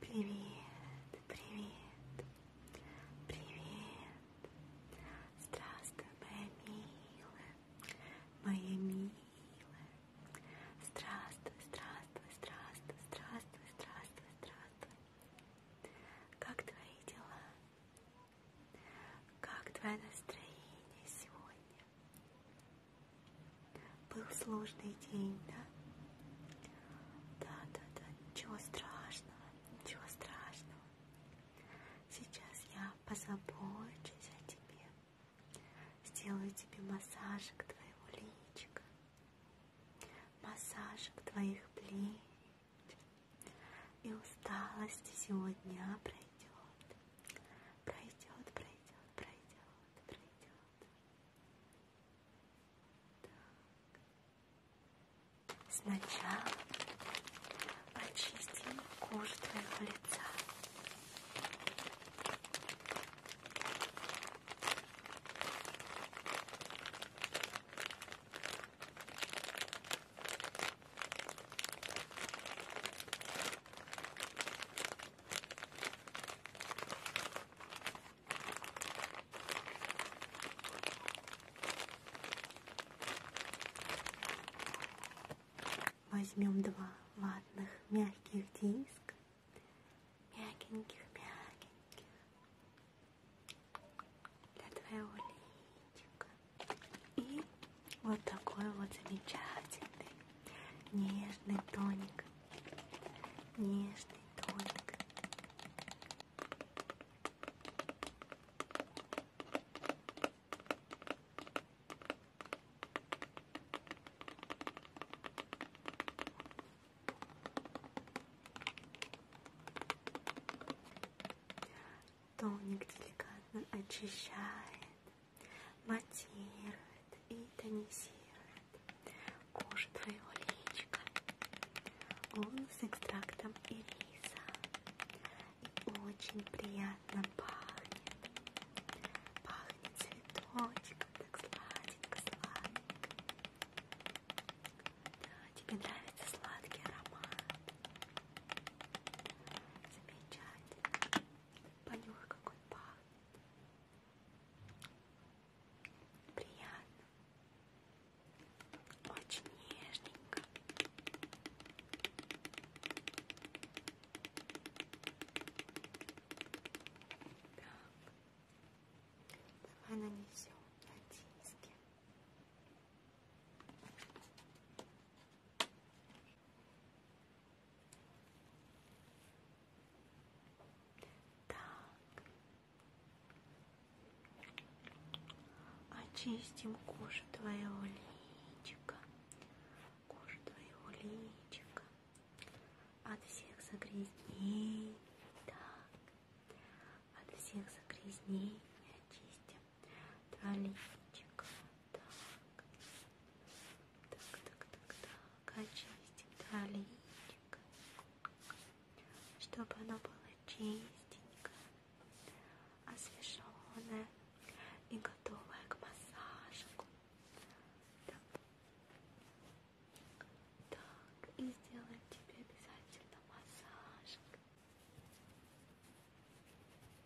Привет, привет, привет. Здравствуй, моя милая, моя милая. Здравствуй, здравствуй, здравствуй, здравствуй, здравствуй, здравствуй. Как твои дела? Как твое настроение сегодня? Был сложный день, да? Да, да, да, ничего страшного, ничего страшного. Сейчас я позабочусь о тебе. Сделаю тебе массажик твоего личика, массажик твоих плеч. И усталость всего дня пройдет. Пройдет, пройдет, пройдет, пройдет. Так. Сначала почистим кожу твоего лица. Хорошо. Возьмем два ватных мягких диска, мягеньких, мягеньких, для твоего личика. И вот такой вот замечательный Нежный тоник. Нежный тоник. Тоник деликатно очищает матирует и тонизирует кожу твоего личка. Он с экстрактом ириса и очень приятно пахнет. Пахнет цветочком, так сладенько-сладенько. Да, тебе нравится сладкий аромат. Замечательно. Понюхай, какой пахнет приятно, очень нежненько. Так, давай нанесем на диски. Так. Так. Очистим кожу твоего личика. Кожу твоего личика. От всех загрязнений. Так. От всех загрязнений очистим. Твое личико. Так. Так, так, так, так очистим троллейчик, чтобы оно было чистенькое, освеженное и готовое к массажику. Так. так, и сделаем тебе обязательно массажик.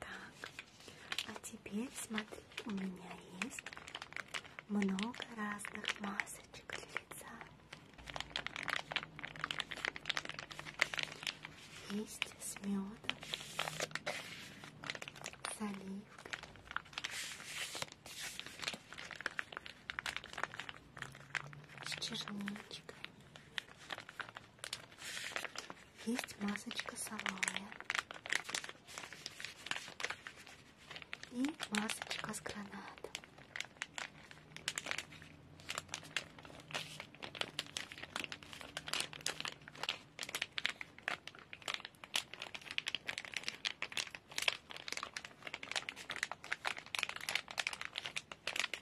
Так, а теперь смотри, у меня есть много разных масочек для лица. Есть с медом, с оливкой. С черничкой. Есть масочка салая. И масочка с гранатом.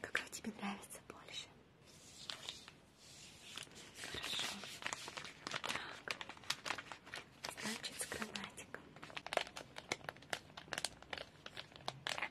Какая тебе нравится больше? Хорошо. Так. Значит, с кроватиком. Так.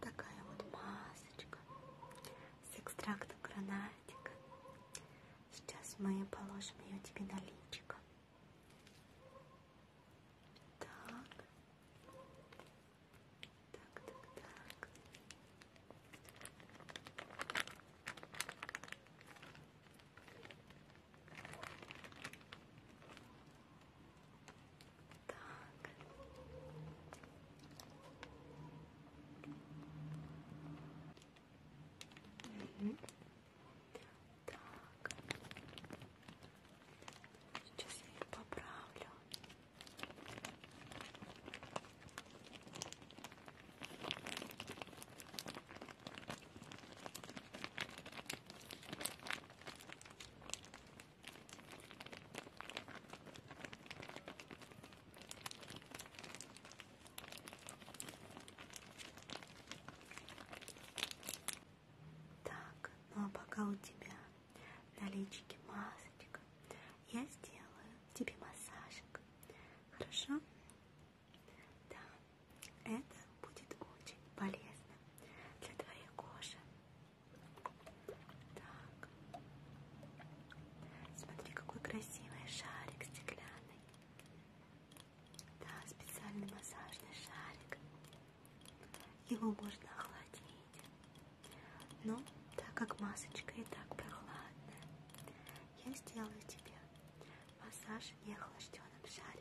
Такая вот масочка с экстрактом гранатика. Сейчас мы положим ее тебе на личико. Так. Так, так, так. Так. Угу. Так. Сейчас я ее поправлю. Так. Так, ну а пока у тебя на личике масочка, я сделаю тебе массажик. Хорошо? Да, это будет очень полезно для твоей кожи. Так. Смотри, какой красивый шарик стеклянный. Да, специальный массажный шарик. Его можно охладить. Но ну, так как масочка и так прохладная, я сделаю тебе массаж неохлажденным шариком.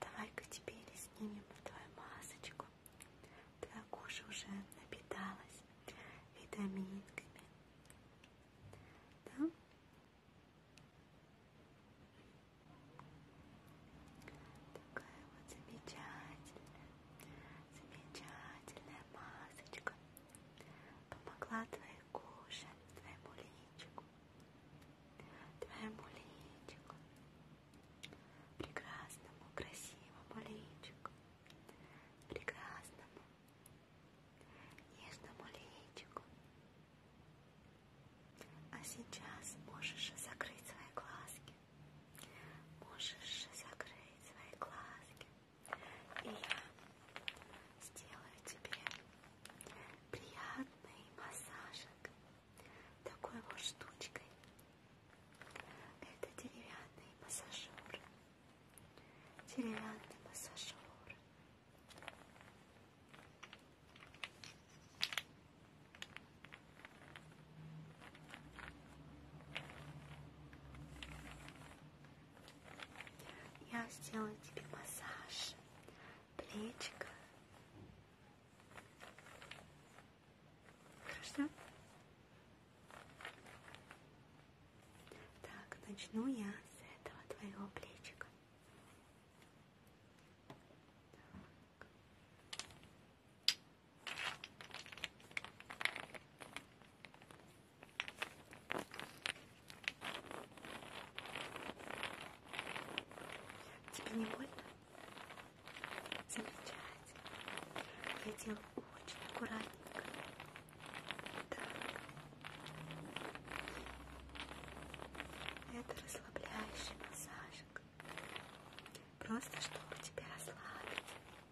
Давай-ка теперь снимем твою масочку. Твоя кожа уже напиталась витаминками. Да? Такая вот замечательная, замечательная масочка помогла твоей коже, твоему личику, твоему личику, прекрасному, красивому личику, прекрасному, нежному личику. А сейчас можешь закрыть свои глазки, можешь закрыть свои глазки. И я сделаю тебе приятный массажик такой вот штучкой. Это деревянный массажер. Деревянный массажер. Ой, я сделаю тебе массаж плечика. Хорошо? Так, начну я с этого твоего плечика. Так. Тебе не больно? Замечательно. Я делаю очень аккуратненько. Так. Это расслабляющий массажик. Просто чтобы тебя расслабить.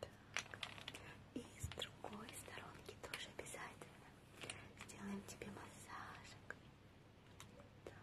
Так. И с другой сторонки тоже обязательно сделаем тебе массажик. Так. Так.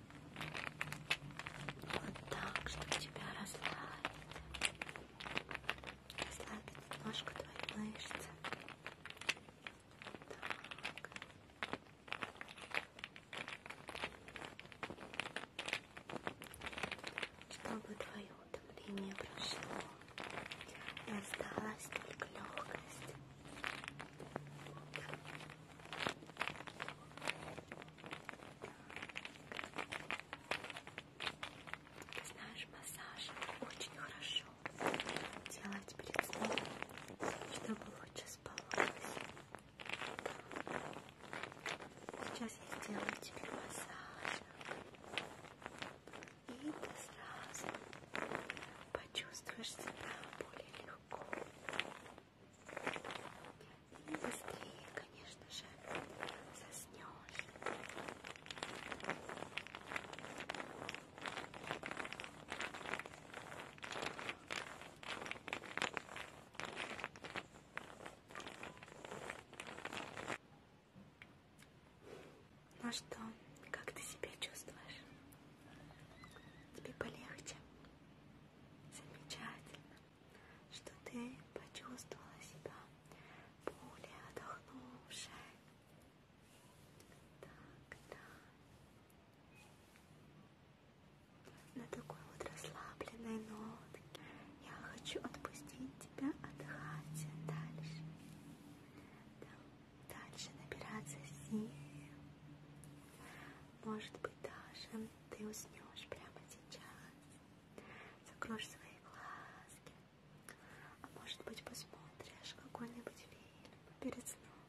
Вот так, чтобы тебя расслабить. Расслабить немножко твои мышцы. Так. Чтобы твое утомление прошло. И осталась только легкость. Ты знаешь, массаж очень хорошо делать перед сном, чтобы лучше спалось. Сейчас я сделаю тебе массаж, и ты сразу почувствуешь себя более легко. И быстрее, конечно же, заснешь. Ну что, как ты себя чувствуешь? Тебе полегче? Замечательно, что ты почувствовала себя более отдохнувшей. Так, да. На такой вот расслабленной нотке я хочу отпустить тебя отдыхать дальше. Да. Дальше набираться сил. Может быть, даже ты уснешь прямо сейчас, закроешь свои глазки, а может быть, посмотришь какой-нибудь фильм перед сном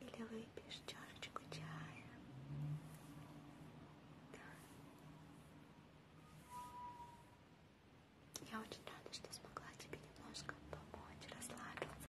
или выпьешь чашечку чая. Я очень рада, что смогла тебе немножко помочь расслабиться.